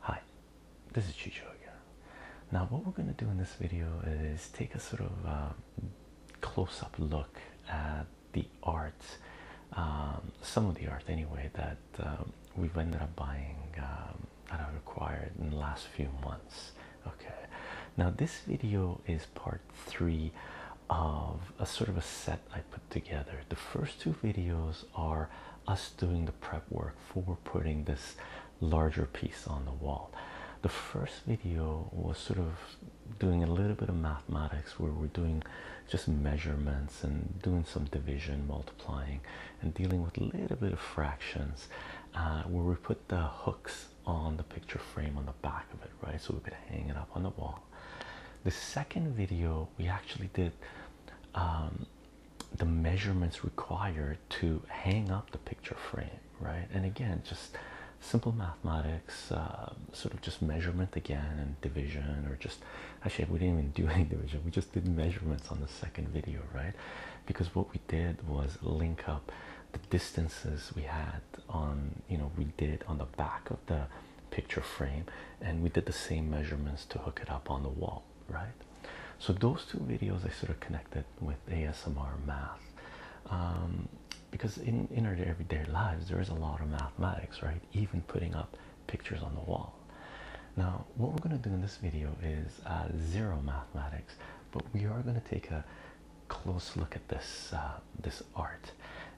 Hi, this is Chicho again. Now what we're going to do in this video is take a sort of um, close-up look at the art, um, some of the art anyway, that um, we've ended up buying um, that I required in the last few months. Okay, now this video is part three of a sort of a set I put together. The first two videos are us doing the prep work for putting this larger piece on the wall. The first video was sort of doing a little bit of mathematics where we're doing just measurements and doing some division, multiplying, and dealing with a little bit of fractions uh, where we put the hooks on the picture frame on the back of it, right? So we could hang it up on the wall. The second video we actually did um, the measurements required to hang up the picture frame, right? And again, just simple mathematics, uh, sort of just measurement again and division, or just actually, we didn't even do any division, we just did measurements on the second video, right? Because what we did was link up the distances we had on you know we did on the back of the picture frame and we did the same measurements to hook it up on the wall right so those two videos i sort of connected with asmr math um, because in in our everyday lives there is a lot of mathematics right even putting up pictures on the wall now what we're going to do in this video is uh, zero mathematics but we are going to take a close look at this uh, this art.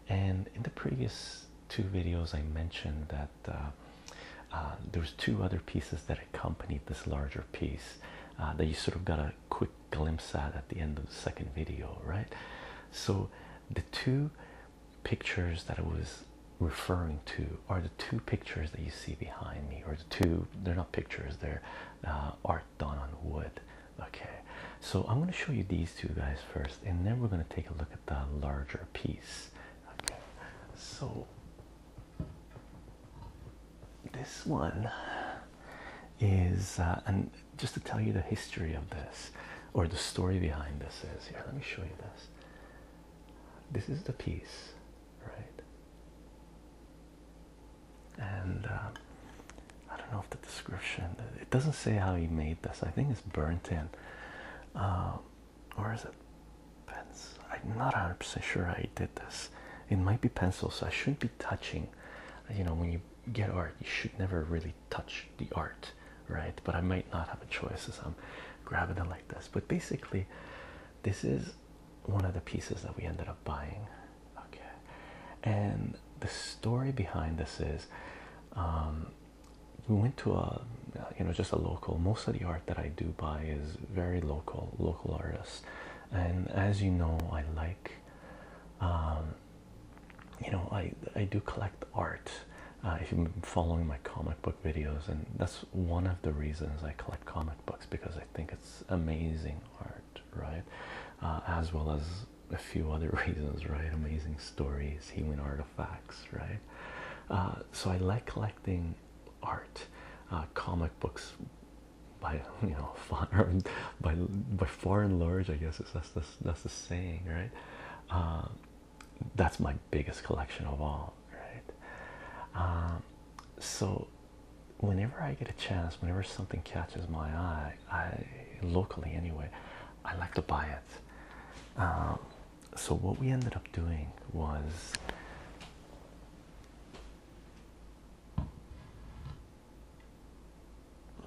And in the previous two videos, I mentioned that uh, uh, there's two other pieces that accompanied this larger piece uh, that you sort of got a quick glimpse at at the end of the second video, right? So the two pictures that I was referring to are the two pictures that you see behind me, or the two—they're not pictures; they're uh, art done on wood Okay, so I'm going to show you these two guys first, and then we're going to take a look at the larger piece. Okay, so this one is, uh, and just to tell you the history of this or the story behind this is here, let me show you this. This is the piece, right? and uh, I don't know if the description it doesn't say how he made this. I think it's burnt in, or um, is it pens? I'm not 100% sure I did this. It might be pencil, so I shouldn't be touching. You know, when you get art, you should never really touch the art, right? But I might not have a choice so I'm grabbing it like this. But basically, this is one of the pieces that we ended up buying okay and the story behind this is um, we went to a you know just a local most of the art that i do buy is very local local artists and as you know i like um, you know i i do collect art uh, if you've been following my comic book videos and that's one of the reasons i collect comic books because i think it's amazing art right uh, as well as a few other reasons, right? Amazing stories, human artifacts, right? Uh, so I like collecting art, uh, comic books, by you know, far, by by far and large, I guess that's that's that's the saying, right? Uh, that's my biggest collection of all, right? so whenever I get a chance, whenever something catches my eye, I locally anyway, I like to buy it. Um, so what we ended up doing was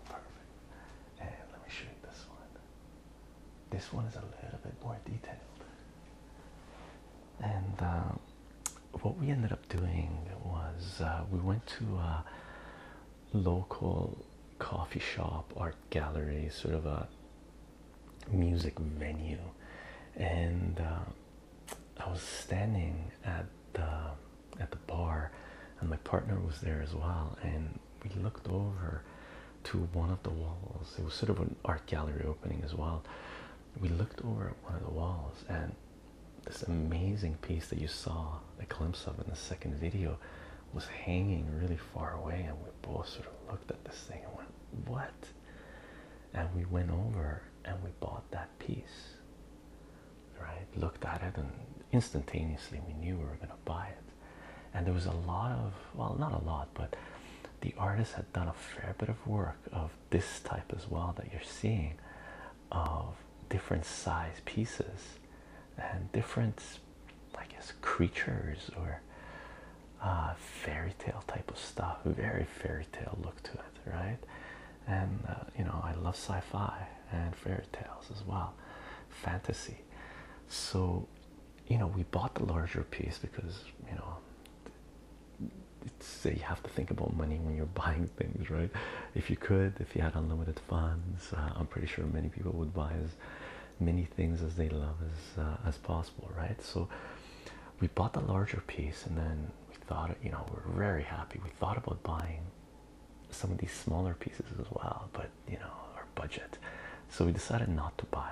perfect. And let me show you this one. This one is a little bit more detailed. And uh, what we ended up doing was uh, we went to uh, local coffee shop, art gallery, sort of a music venue, and uh, I was standing at the at the bar, and my partner was there as well, and we looked over to one of the walls. It was sort of an art gallery opening as well. We looked over at one of the walls, and this amazing piece that you saw a glimpse of in the second video was hanging really far away and we both sort of looked at this thing and went what and we went over and we bought that piece right looked at it and instantaneously we knew we were going to buy it and there was a lot of well not a lot but the artist had done a fair bit of work of this type as well that you're seeing of different size pieces and different, I guess, creatures or uh, fairy tale type of stuff. Very fairy tale look to it, right? And uh, you know, I love sci-fi and fairy tales as well, fantasy. So, you know, we bought the larger piece because you know it's you have to think about money when you're buying things, right? If you could, if you had unlimited funds, uh, I'm pretty sure many people would buy as many things as they love as uh, as possible, right? So we bought the larger piece, and then we thought, you know, we're very happy. We thought about buying some of these smaller pieces as well, but you know, our budget. So we decided not to buy.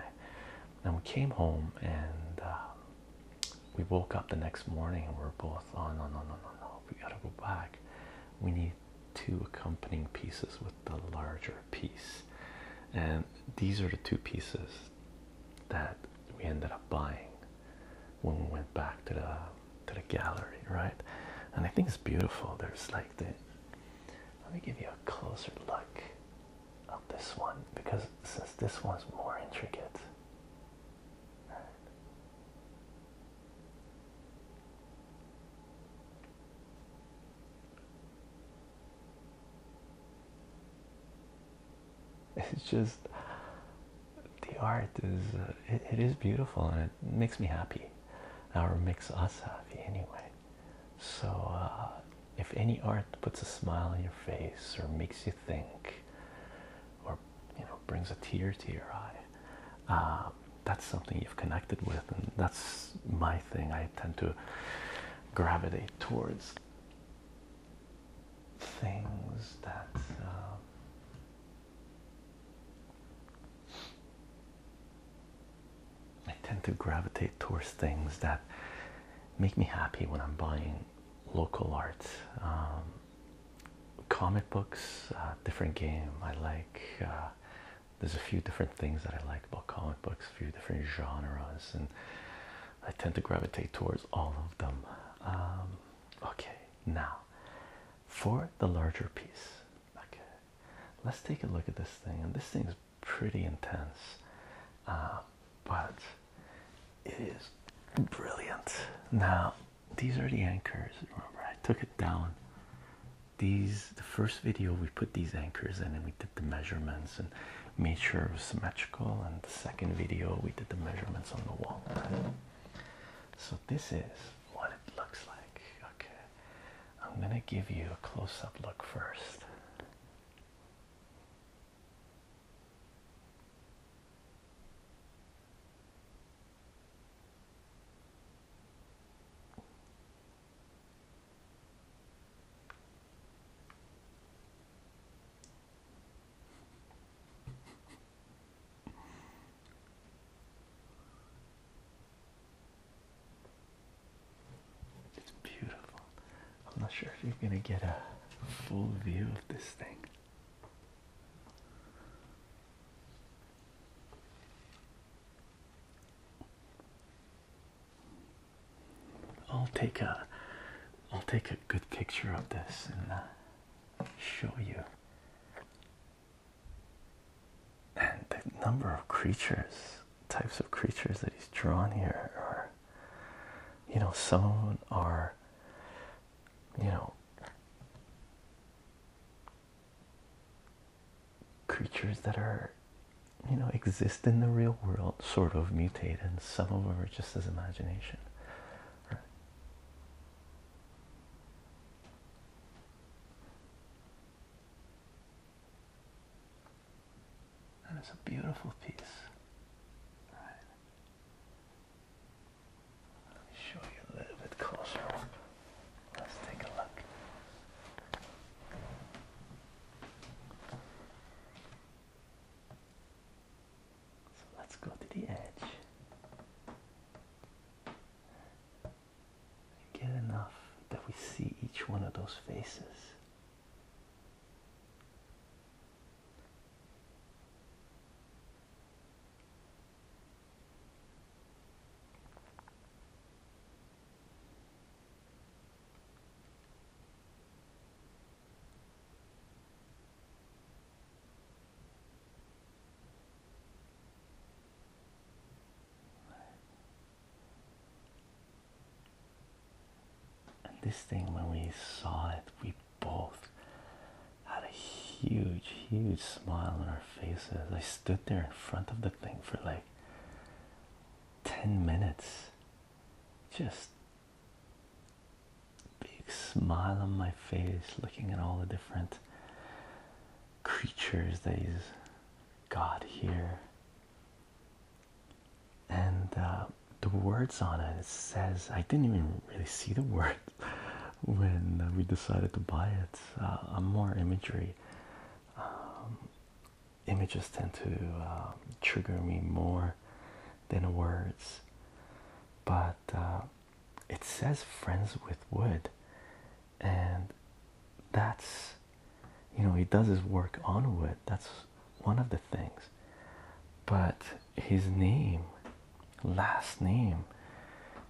And we came home and. Uh, we woke up the next morning and we are both oh no no no no no we gotta go back we need two accompanying pieces with the larger piece and these are the two pieces that we ended up buying when we went back to the to the gallery right and I think it's beautiful there's like the let me give you a closer look of this one because since this one's more intricate it's just the art is uh, it is beautiful and it makes me happy or makes us happy anyway so uh, if any art puts a smile on your face or makes you think or you know brings a tear to your eye um, that's something you've connected with and that's my thing i tend to gravitate towards things that um, I tend to gravitate towards things that make me happy when I'm buying local art. Um, comic books, uh, different game. I like. Uh, there's a few different things that I like about comic books, a few different genres, and I tend to gravitate towards all of them. Um, okay, now for the larger piece. Okay, let's take a look at this thing, and this thing's pretty intense, uh, but it is brilliant. Now, these are the anchors. Remember, I took it down. These, the first video, we put these anchors in and we did the measurements and made sure it was symmetrical. And the second video, we did the measurements on the wall. So, this is what it looks like. Okay, I'm gonna give you a close up look first. It's beautiful. I'm not sure if you're going to get a full view of this thing. I'll take a I'll take a good picture of this and uh, show you. And the number of creatures, types of creatures that he's drawn here or you know, some are you know, creatures that are, you know, exist in the real world, sort of mutate, and some of them are just as imagination. Right? And it's a beautiful piece. Right. Let show you a little bit closer. Let's take a look. So let's go to the edge and get enough that we see each one of those faces. And this thing, when we saw it, we both had a huge, huge smile on our faces. I stood there in front of the thing for like 10 minutes, just big smile on my face, looking at all the different creatures that he's got here. And uh, the words on it. says, I didn't even really see the word when uh, we decided to buy it. Uh, more imagery. Um, images tend to uh, trigger me more than words. But uh, it says friends with wood. And that's, you know, he does his work on wood. That's one of the things. But his name, last name,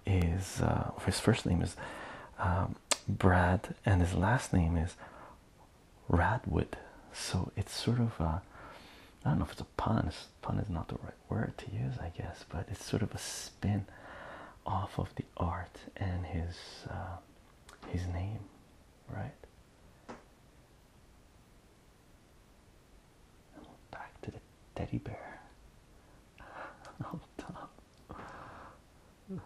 is uh, his first name is um, Brad, and his last name is Radwood. So it's sort of I I don't know if it's a pun. pun is not the right word to use, I guess, but it's sort of a spin off of the art and his uh, his name, right? back to the teddy bear. All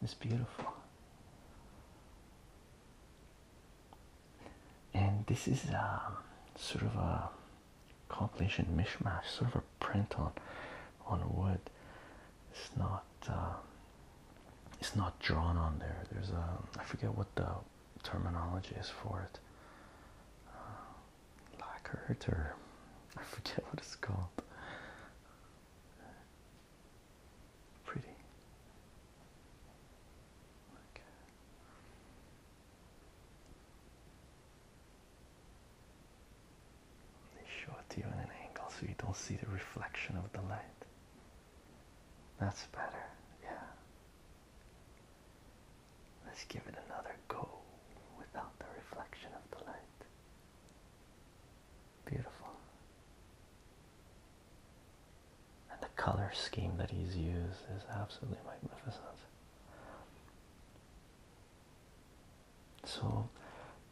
It's beautiful. And this is um, sort of a compilation mishmash, sort of a print on on wood it's not uh, it's not drawn on there there's a I forget what the terminology is for it uh, or I forget what it's called pretty They show it to you in an angle so you don't see the reflection of the light. That's better, yeah. Let's give it another go without the reflection of the light. Beautiful. And the color scheme that he's used is absolutely magnificent. So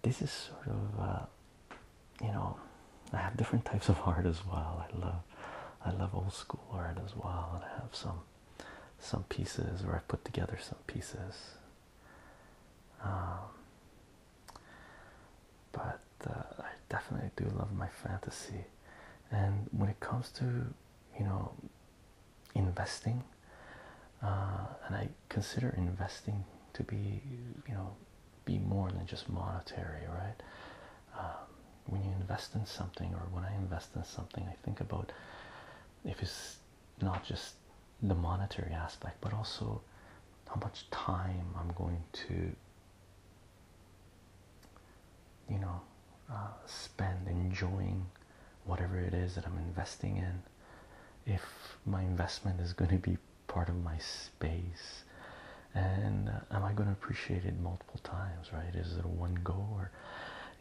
this is sort of uh, you know I have different types of art as well. I love I love old school art as well, and I have some some pieces where I put together some pieces. Um, but uh, I definitely do love my fantasy, and when it comes to you know investing, uh, and I consider investing to be you know be more than just monetary right um, when you invest in something or when I invest in something I think about if it's not just the monetary aspect but also how much time I'm going to you know uh, spend enjoying whatever it is that I'm investing in if my investment is going to be part of my space and uh, am i going to appreciate it multiple times right is it a one go or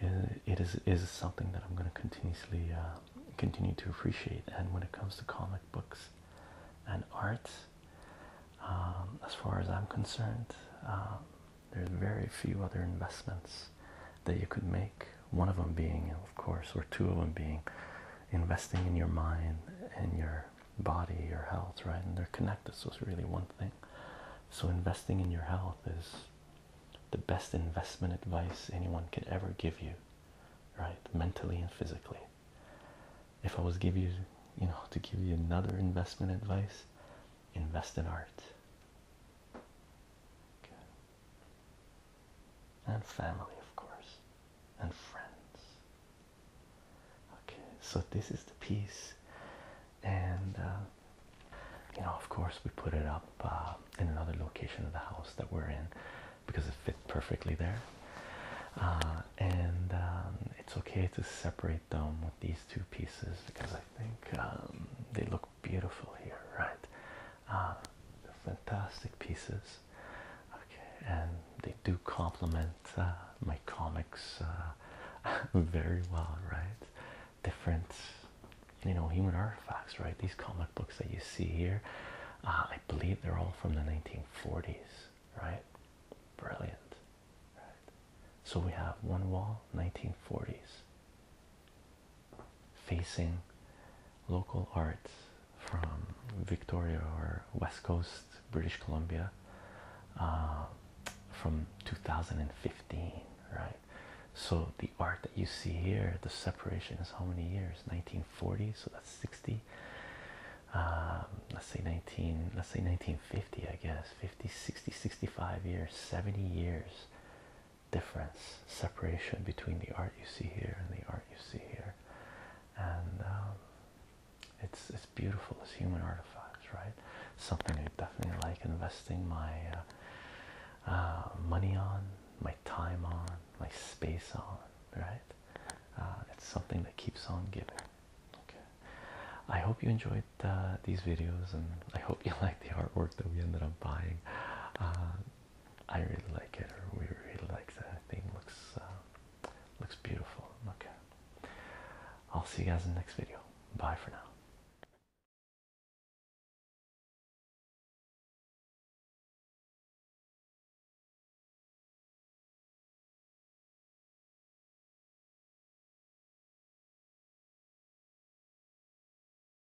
uh, it is is it something that i'm going to continuously uh, continue to appreciate and when it comes to comic books and art um, as far as i'm concerned um, there's very few other investments that you could make one of them being of course or two of them being investing in your mind and your body, your health, right? And they're connected, so it's really one thing. So, investing in your health is the best investment advice anyone could ever give you, right? Mentally and physically. If I was give you, you know, to give you another investment advice, invest in art and family, of course, and friends. Okay, so this is the piece, and uh, you know, of course, we put it up uh, in another location of the house that we're in because it fit perfectly there. Uh, and um, it's okay to separate them with these two pieces because I think um, they look beautiful here, right? fantastic pieces okay and they do complement uh, my comics uh, very well right different you know human artifacts right these comic books that you see here uh, i believe they're all from the 1940s right brilliant right so we have one wall 1940s facing local art from Victoria or West Coast, British Columbia, uh, from 2015, right? So the art that you see here, the separation is how many years? 1940, so that's 60. Um, let's say 19, let's say 1950, I guess 50, 60, 65 years, 70 years difference separation between the art you see here and the art you see here and um, it's it's beautiful. It's human artifacts, right? Something I definitely like investing my uh, uh, money on, my time on, my space on, right? Uh, it's something that keeps on giving. Okay. I hope you enjoyed these videos, and I hope you like the artwork that we ended up buying. I really like it, or we really like that. I think looks uh, looks beautiful. Okay, I'll see you guys in the next video. Bye for now.